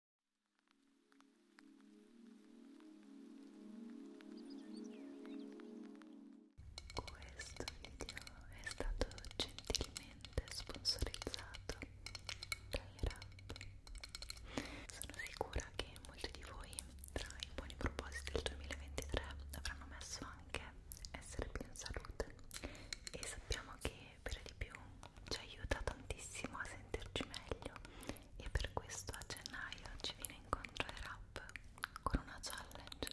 Questo video è stato gentilmente sponsorizzato dall'Irap. Sono sicura che molti di voi tra i buoni propositi del 2023 avranno messo anche essere più in salute e sappiamo che e per di più ci aiuta tantissimo a sentirci meglio e per questo a gennaio ci viene incontro il rap con una challenge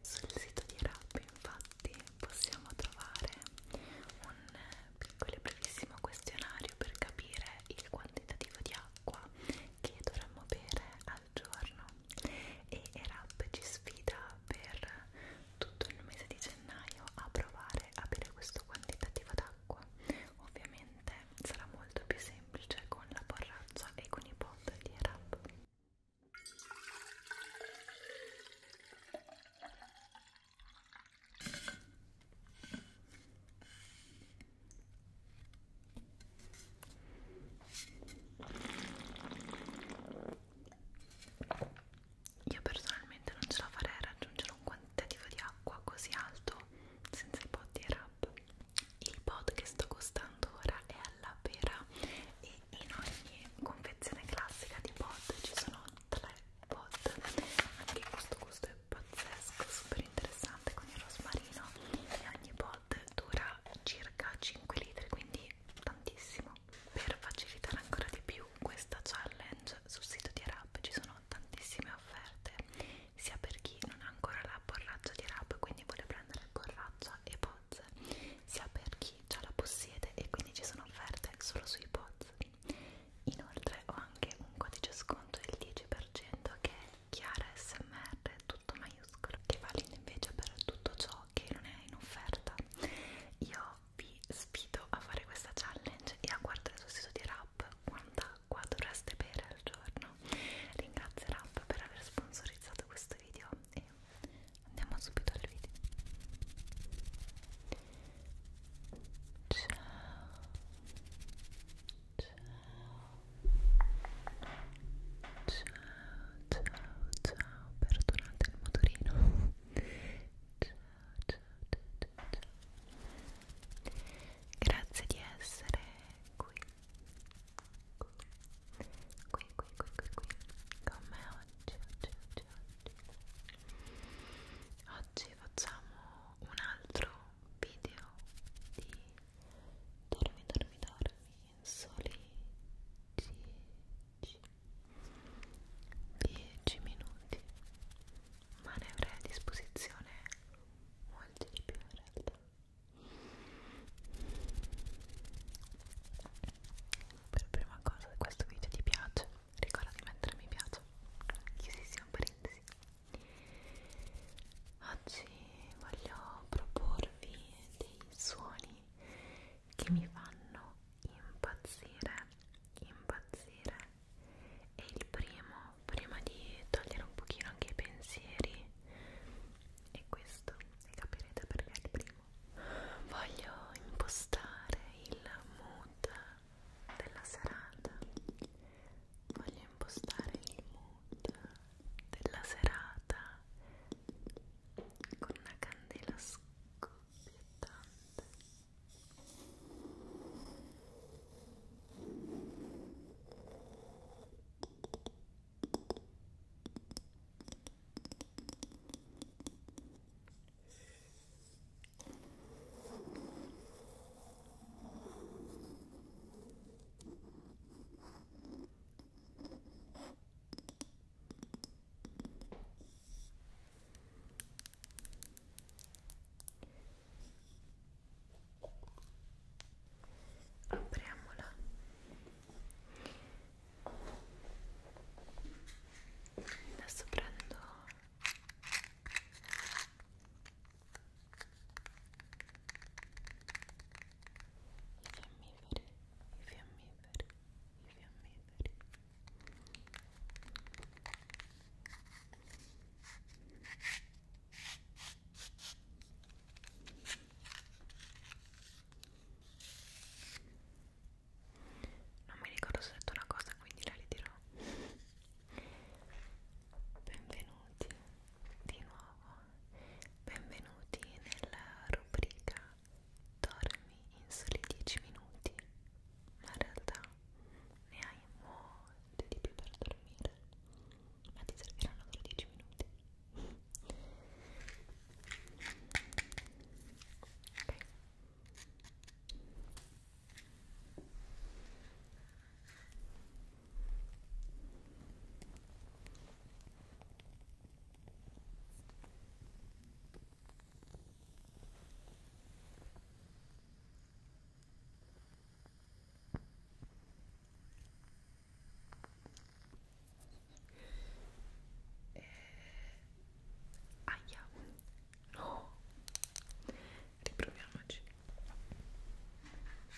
sul sito di rap infatti possiamo trovare un piccolo e brevissimo questionario per capire il quantitativo di acqua che dovremmo bere a al giorno e Erap ci sfida per tutto il mese di gennaio a provare a bere questo quantitativo d'acqua ovviamente sarà molto più semplice con la borraccia e con i pot di Erap io personalmente non ce la farei a raggiungere un quantitativo di acqua così alto senza i pot di rap. Il pot che sto costando ora è alla pera e in ogni confezione classica di pot ci sono tre pot. Anche questo gusto è pazzesco, super interessante con il rosmarino e ogni pot dura circa 5 litri, quindi tantissimo per facilitare ancora di più questa challenge sul sito di Arab ci sono tantissime offerte sia per chi non ha ancora la borraccia di Arab quindi vuole prendere borraccia e pozze sia per chi già la possiede e quindi ci sono offerte solo sui pozze inoltre ho anche un codice sconto del 10% che è chiara smr tutto maiuscolo che vale invece per tutto ciò che non è in offerta io vi sfido a fare questa challenge e a guardare sul sito di Rap quanta acqua dovreste bere al giorno ringrazio Rap per aver sponsorizzato questo video e andiamo subito al video ciao ciao ciao ciao ciao perdonate il motorino ciao ciao ciao ciao ciao grazie di essere qui qui qui qui qui qui, qui. con me oggi oggi oggi oggi oggi facciamo un altro video di dormi dormi dormi soli 10, 10 minuti ma ne avrei a disposizione molti di più in realtà per prima cosa se questo video ti piace ricorda di mettere mi piace chiusissimo parentesi oggi voglio proporvi dei suoni che mi fanno impazzire, impazzire. E il primo, prima di togliere un pochino anche i pensieri, è questo, e capirete perché è il primo. Voglio impostare il mood della serata. Voglio impostare il mood della serata con una candela scoppiettante apriamola adesso prendo i fiammiferi, i fiammiferi, i fiammiferi non mi ricordo se ho detto una cosa quindi la ridirò benvenuti di nuovo benvenuti nella rubrica Dormi in soli 10 minuti, ma in realtà ne hai molto di più per dormire, ma ti serviranno solo 10 minuti. Okay. Allora, eh, aia, no, riproviamoci.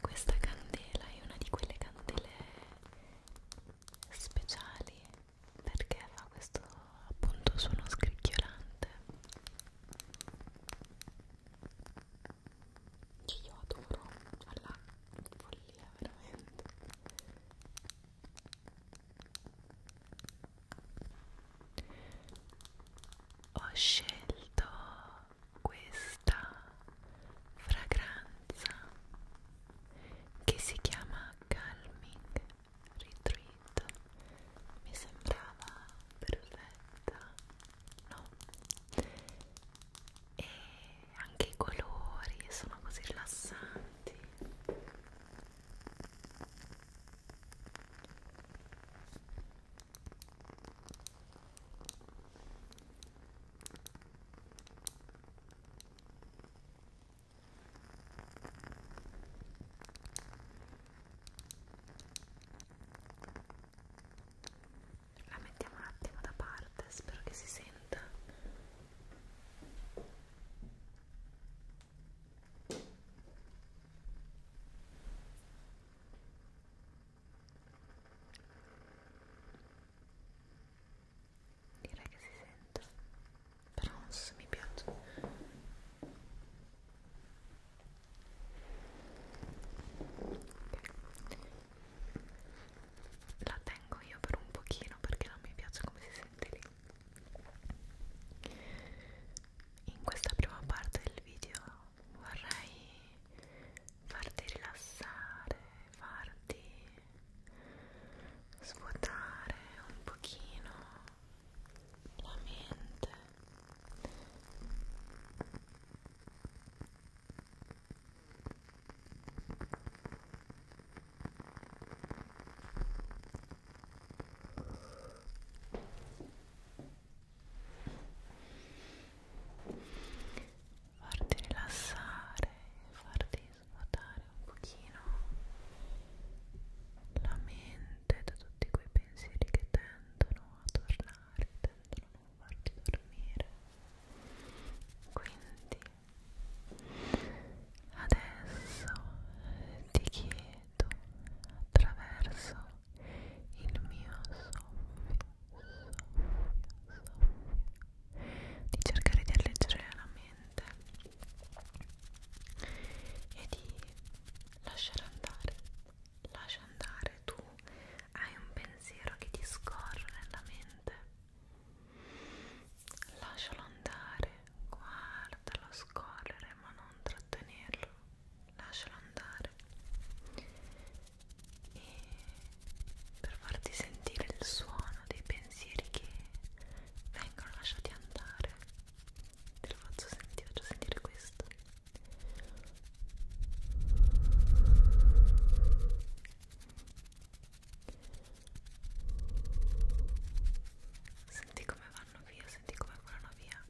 Questa candela è una di quelle candele speciali perché fa questo appunto suono scricchiolante che io adoro alla cioè follia veramente ho scelto questa fragranza che si chiama Calming Retreat mi sembrava perfetta no e anche i colori sono così rilassanti la mettiamo un attimo da parte, spero che si senta. Direi che si sente, però non so se mi piace. Okay. La tengo io per un pochino perché non mi piace come si sente lì in questa prima parte del video vorrei farti rilassare, farti svuotare un pochino la mente farti rilassare, farti svuotare un pochino la mente da tutti quei pensieri che tendono a tornare, tendono a non farti dormire. Quindi adesso ti chiedo attraverso il mio soffio, soffio, soffio di cercare di alleggerire la mente e di lasciare andare lascia andare tu hai un pensiero che ti scorre nella mente lascialo andare guardalo scorrere ma non trattenerlo lascialo andare e per farti sentire il suono dei pensieri che vengono lasciati andare te lo faccio sentire, faccio sentire questo Senti come vanno via, senti come volano via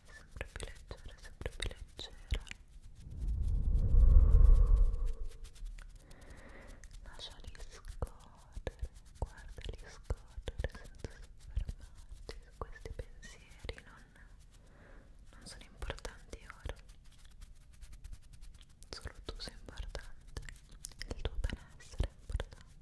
sempre più leggera, sempre più leggera lasciali scorrere, guardali scorrere senza soffermarti su questi pensieri non, non sono importanti ora solo tu sei importante il tuo benessere è importante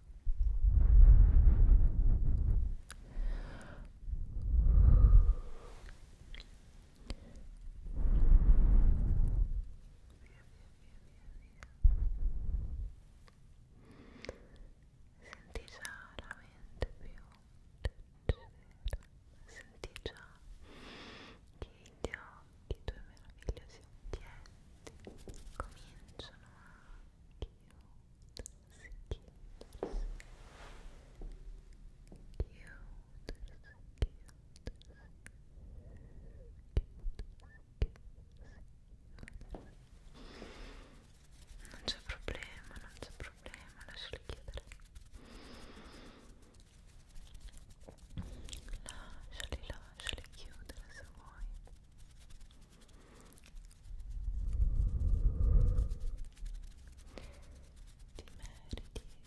Senti già la mente più senti già che gli occhi, i tuoi meravigliosi occhietti cominciano a chiudersi non c'è problema, non c'è problema, lasciali chiudere. Lasciali, lasciali chiudere se vuoi ti meriti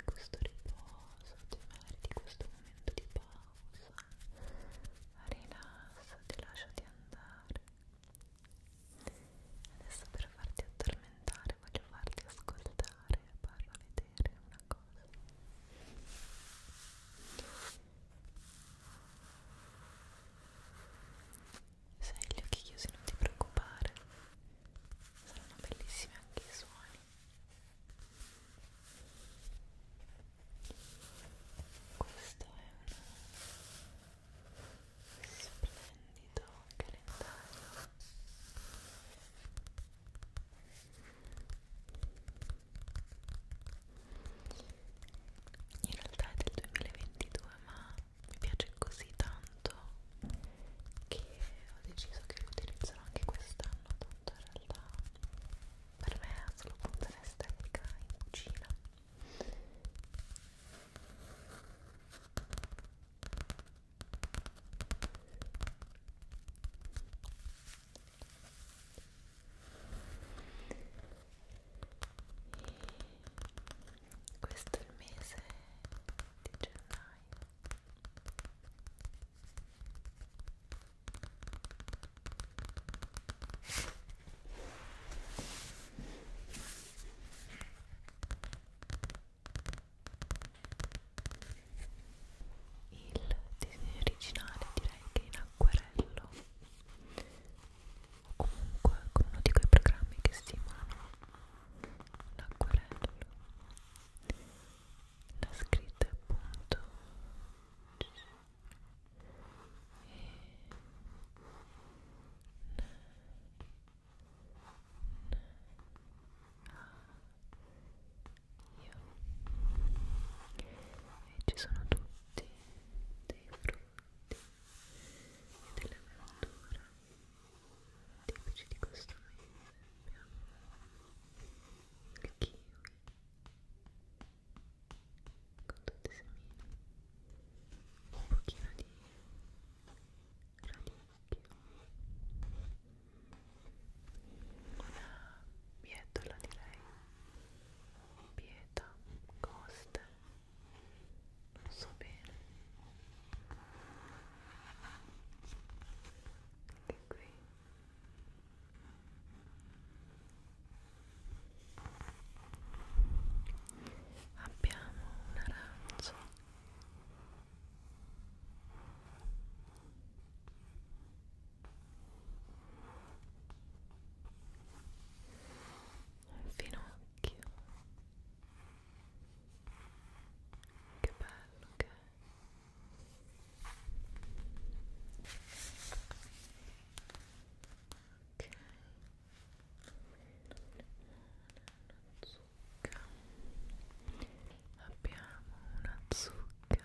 questo riposo, ti meriti questo momento di pausa rilassati, lasciati andare adesso per farti addormentare voglio farti ascoltare e farlo vedere una cosa se hai gli occhi chiusi non ti preoccupare, saranno bellissimi anche i suoni. Questo è un splendido calendario in realtà è del 2022 ma mi piace così tanto che ho deciso che lo utilizzerò anche quest'anno tanto in realtà per me ha solo funzione estetica in cucina questo è il mese di gennaio il disegno originale direi che in acquerello o comunque con uno di quei programmi che stimolano l'acquerello la scritta appunto e ci sono tutti dei frutti della verdura tipici di questo mese abbiamo il kiwi con tutte semine un pochino di radicchio una bietola direi pieta, coste non so bene e qui abbiamo un arancio un finocchio che bello che è ok una zucca abbiamo una zucca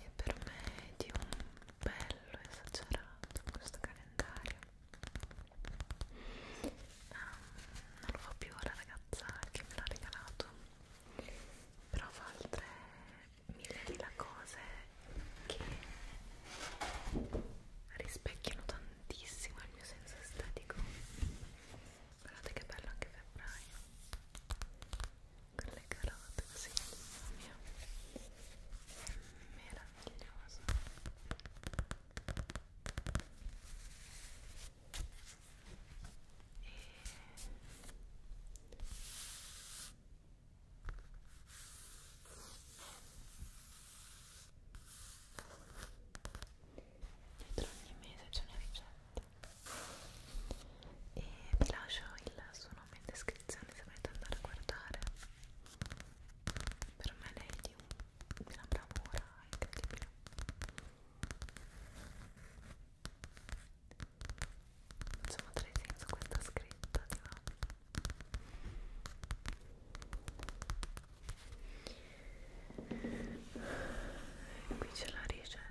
e per me è di un bello esagerato questo calendario um, non lo fa più la ragazza che me l'ha regalato però fa altre mille mila cose che rispecchiano tantissimo il mio senso estetico guardate che bello anche febbraio con le carote così, mamma mia, è meraviglioso e dietro ogni mese c'è una ricetta e vi lascio il suo nome in descrizione se volete andare a guardare per me lei di, un, di una bravura incredibile facciamo tre senso questa scritta di là qui c'è la ricetta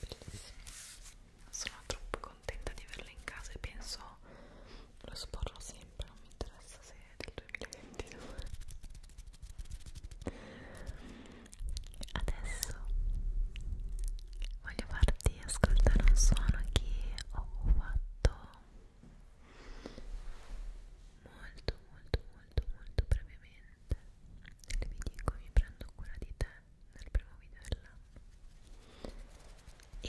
Bellissimo. Sono troppo contenta di averle in casa e penso lo sporrò sempre, non mi interessa se è del 2022. Adesso voglio farti ascoltare un suono che ho fatto molto molto molto molto brevemente vi dico mi prendo cura di te nel primo video dell'anno e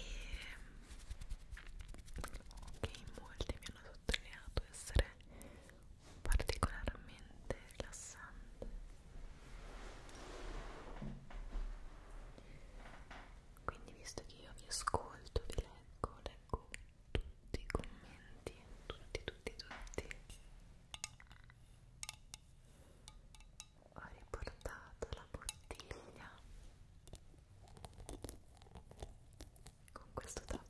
che in molti mi hanno sottolineato essere particolarmente rilassante quindi visto che io vi ascolto, vi leggo, leggo tutti i commenti, tutti, tutti, tutti. Ho riportato la bottiglia con questo tappo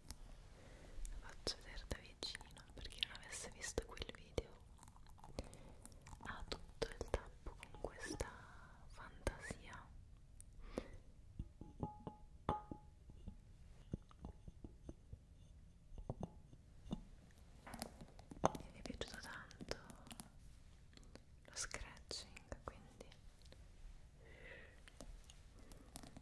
la faccio vedere da vicino per chi non avesse visto quel video ha tutto il tappo con questa fantasia mi è piaciuto tanto lo scratching quindi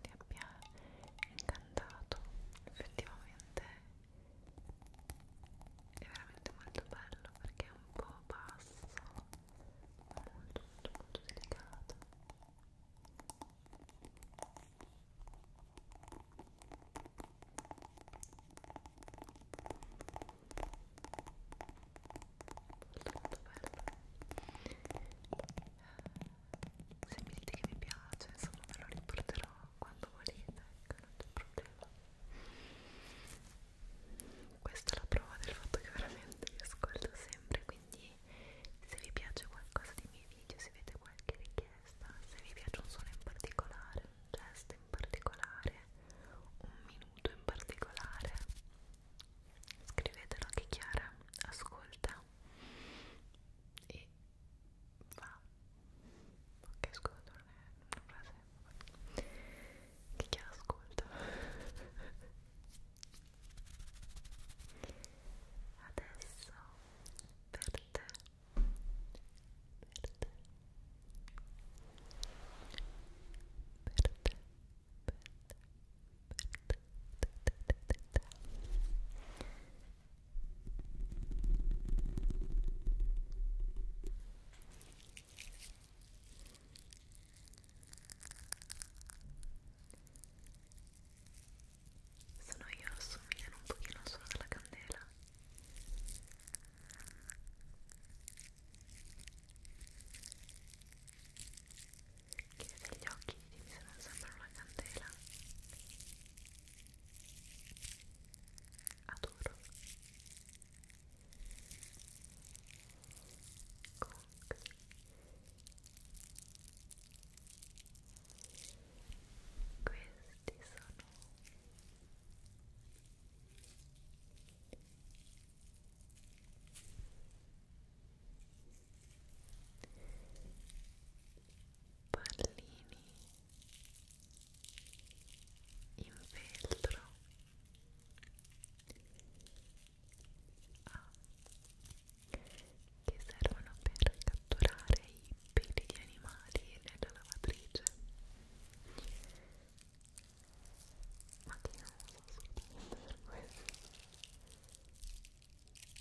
ti abbia incantato effettivamente è veramente molto bello perché è un po' basso ma molto molto molto delicato molto molto bello se mi dite che vi piace insomma ve lo riporterò quando volete ecco non c'è problema questa è la prova del fatto che veramente vi ascolto sempre quindi se vi piace qualcosa dei miei video se avete qualche richiesta se vi piace un suono in particolare un gesto in particolare un minuto in particolare scrivetelo anche Chiara ascolta e fa ok scusa non è una frase che chi ascolta adesso per te per te per te per te per te, te, te, te, te, te. Sono io assomigliano un pochino al suono della candela. Chiedete agli occhi, dimmi se non sembra una candela adoro comunque questi sono pallini in feltro ah, che servono per catturare i peli di animali nella lavatrice ma che non so assolutamente per questo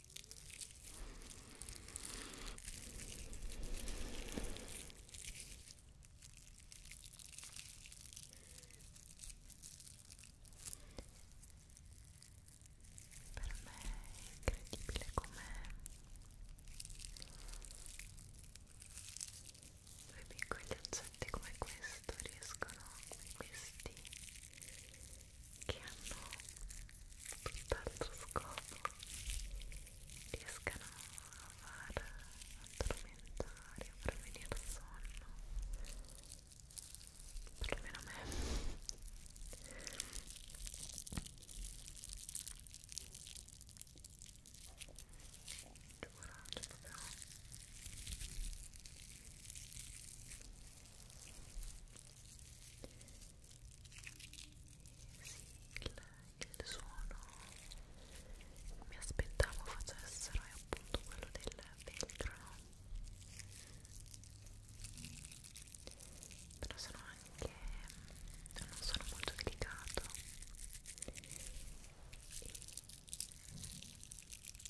Per me è incredibile come due piccoli oggetti come questo riescono, questi che hanno tutt'altro scopo riescano a far addormentare, a far venire il sonno perlomeno a me giuro, cioè proprio il, il suono mi aspettavo facessero è appunto quello del velcro però sono anche non sono molto delicato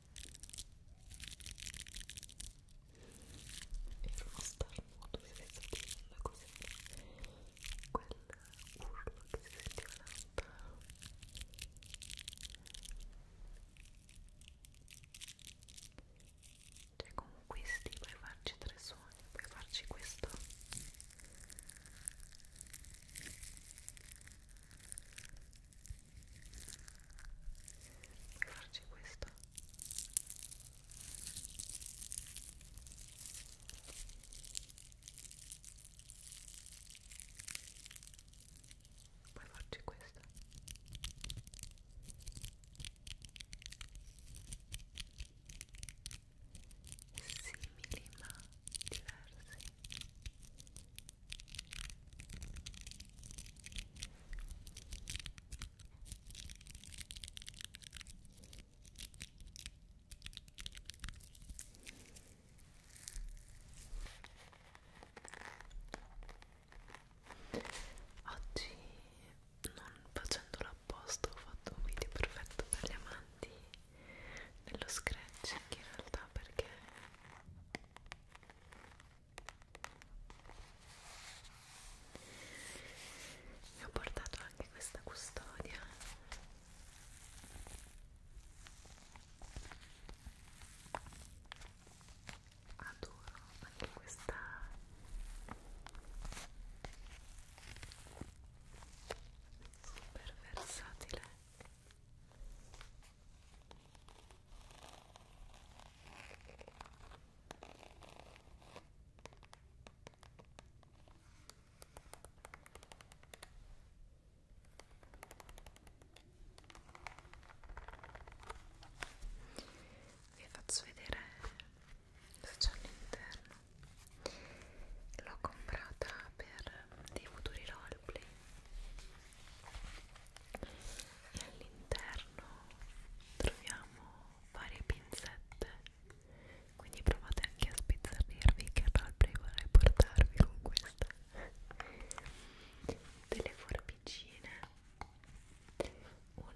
Era uno starnuto, si sentiva così quel urlo che si sentiva lontano cioè con questi puoi farci tre suoni, puoi farci questo puoi farci questo puoi farci questo simili ma diversi Oggi, non facendolo apposta, ho fatto un video perfetto per gli amanti dello scratching in realtà perché mi ho portato anche questa custodia adoro anche questa super versatile vi faccio vedere se c'è all'interno l'ho comprata per dei futuri roleplay e all'interno troviamo varie pinzette quindi provate anche a spezzardirvi che roleplay vorrei portarvi con questa delle forbicine un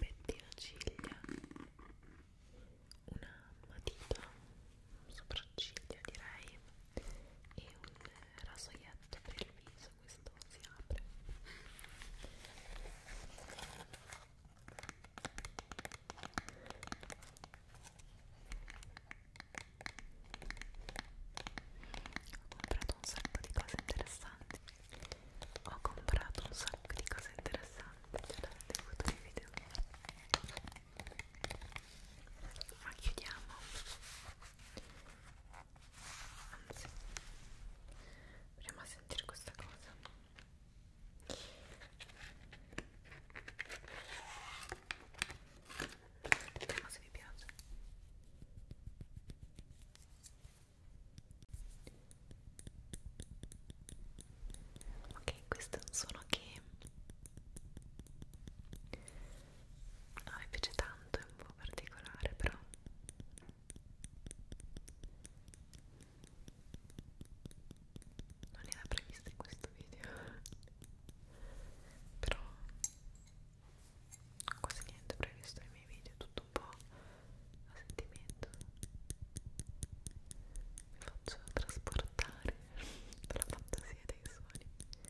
pettino ciglia una matita sopracciglia direi e un eh, rasoietto per il viso, questo si apre ho comprato un sacco di cose interessanti ho comprato un sacco di cose interessanti, ce l'avete avuto nei video ma chiudiamo anzi proviamo a sentire questa cosa vediamo se vi piace ok questo è un suono che a me piace tanto, è un po' particolare però non era previsto in questo video però quasi niente previsto nei miei video tutto un po' a sentimento mi faccio trasportare dalla fantasia dei suoni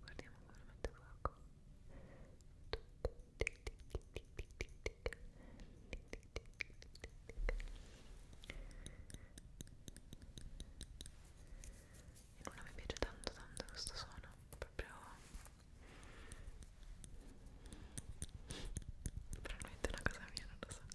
guardiamo come mette fuoco e mi piace tanto tanto questo suono proprio Probablemente una cosa mía, no lo sé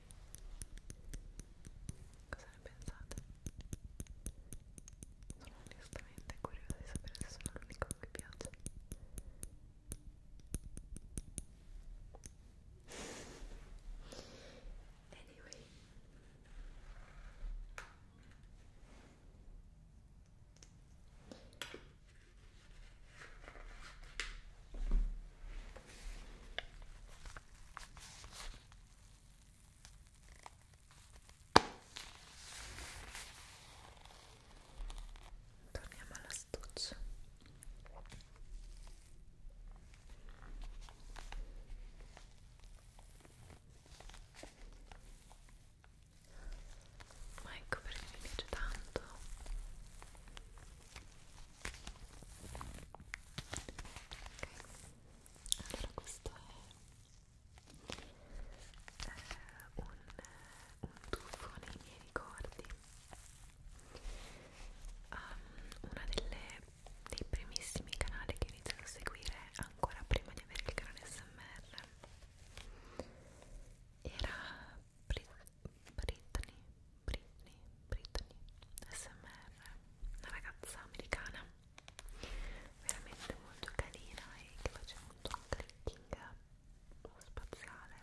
Cosa ne pensate? Sono onestamente curiosa di sapere se sono l'unico che piace. Anyway. Torniamo all'astuccio. Ma ecco perché mi piace tanto allora questo è eh, un, un tuffo nei miei ricordi um, ehm, uno dei primissimi canali che ho iniziato a seguire ancora prima di avere il canale SMR era Brit Britney Britney, Britney SMR, una ragazza americana veramente molto carina e che faceva molto un clicking spaziale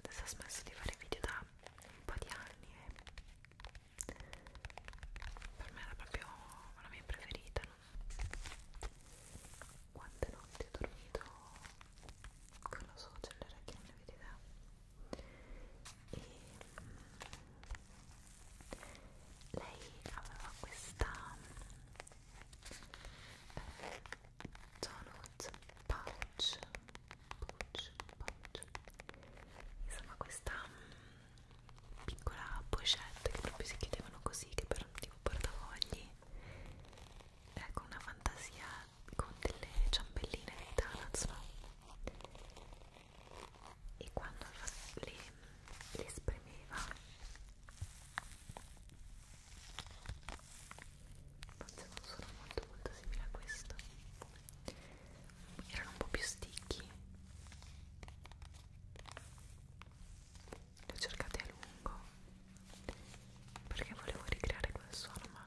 adesso ha smesso di fare video da un po' di anni e per me era proprio la mia preferita no? quante notti ho dormito con la suocera che non ne vedete e mm, lei aveva questa eh, Donut pouch, pouch, pouch insomma questa mm, piccola pochette che proprio si chiudevano così che per un tipo portafogli ecco eh, una fantasia con delle ciambelline di Donuts, no? E quando le, le spremeva, forse non sono molto molto simili a questo, erano un po' più sticchi. Le ho cercate a lungo perché volevo ricreare quel suono ma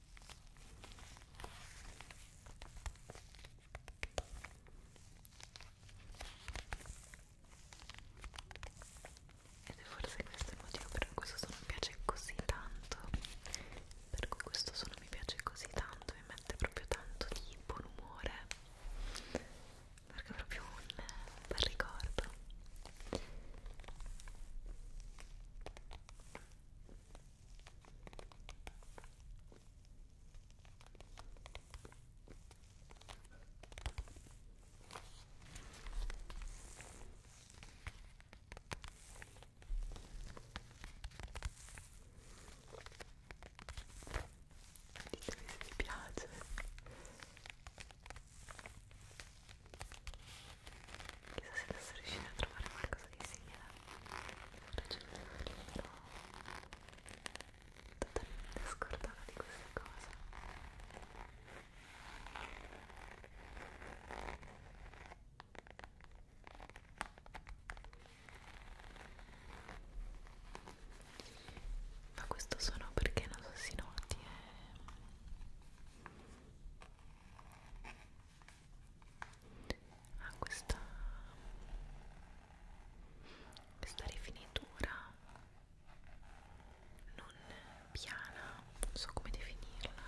Ed è forse questo il motivo per cui questo suono mi piace così tanto. Per cui questo suono mi piace così tanto, mi mette proprio tanto di buon umore. Perché è proprio un bel ricordo. Ditemi se vi piace chissà se adesso riuscire a trovare qualcosa di simile libro totalmente scordata di questa cosa ma questo suono perché non so si noti è eh ha ah, questa questa rifinitura non piana, non so come definirla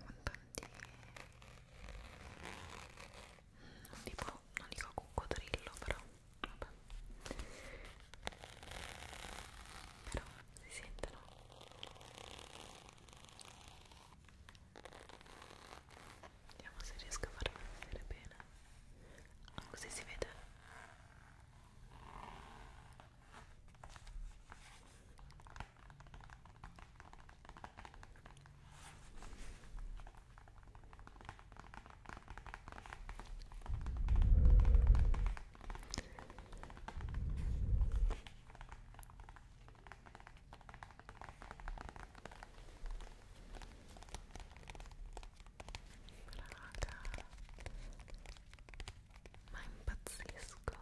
con tanti non dico, non dico coccodrillo però vabbè però si sentono Vediamo se riesco a farlo vedere bene. Ah, così si vede. Raga, ma impazzisco.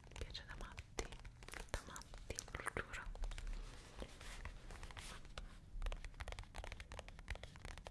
Mi piace da matti, da matti, lo giuro.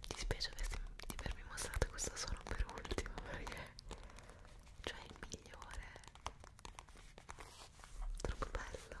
mi dispiace di avervi mostrato questo solo per ultimo perché cioè è il migliore troppo bello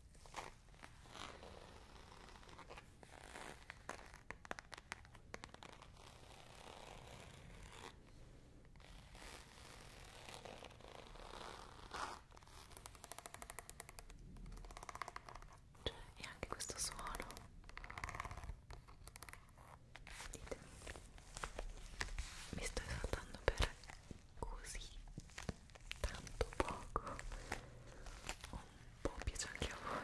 Cioè, e anche questo suono. Ditemi. Mi sto esaltando per così tanto poco un po' piace anche a voi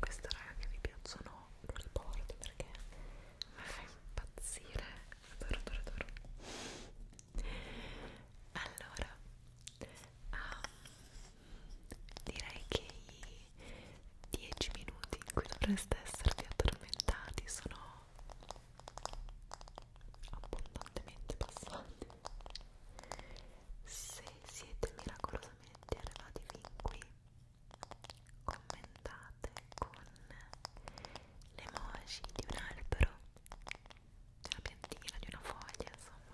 questa raga che vi piacciono non le porto perché mi fa impazzire adoro adoro adoro allora um, direi che i 10 minuti in cui dovreste esservi addormentati sono abbondantemente passate se siete miracolosamente arrivati fin qui commentate con le emoji di un albero di una piantina, di una foglia insomma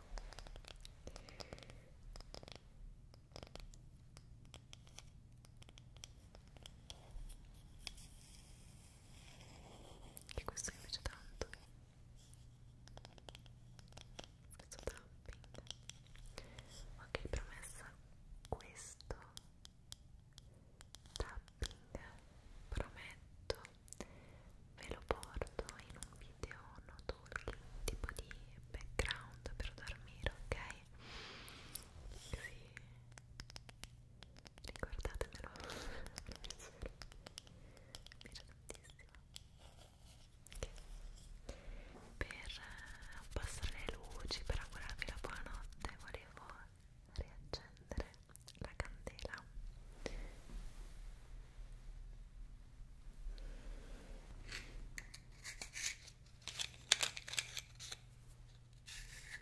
che questo invece tanto questo tapping ok promessa questo tapping prometto ve lo porto in un video no talking tipo di background per dormire ok? Così ricordatemelo mi piace mi piace tantissimo okay. per abbassare le luci per augurarvi la buonanotte volevo riaccendere la candela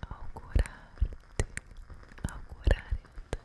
augurarti, augurare a te una buona buona buona notte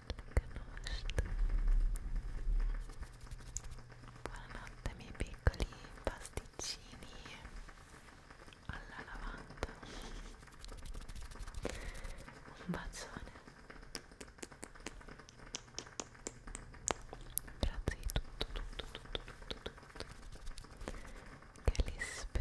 Buonanotte miei piccoli pasticcini alla lavanda. Un bacione. Grazie di tutto, tutto, tutto, tutto, tutto. Che li spera.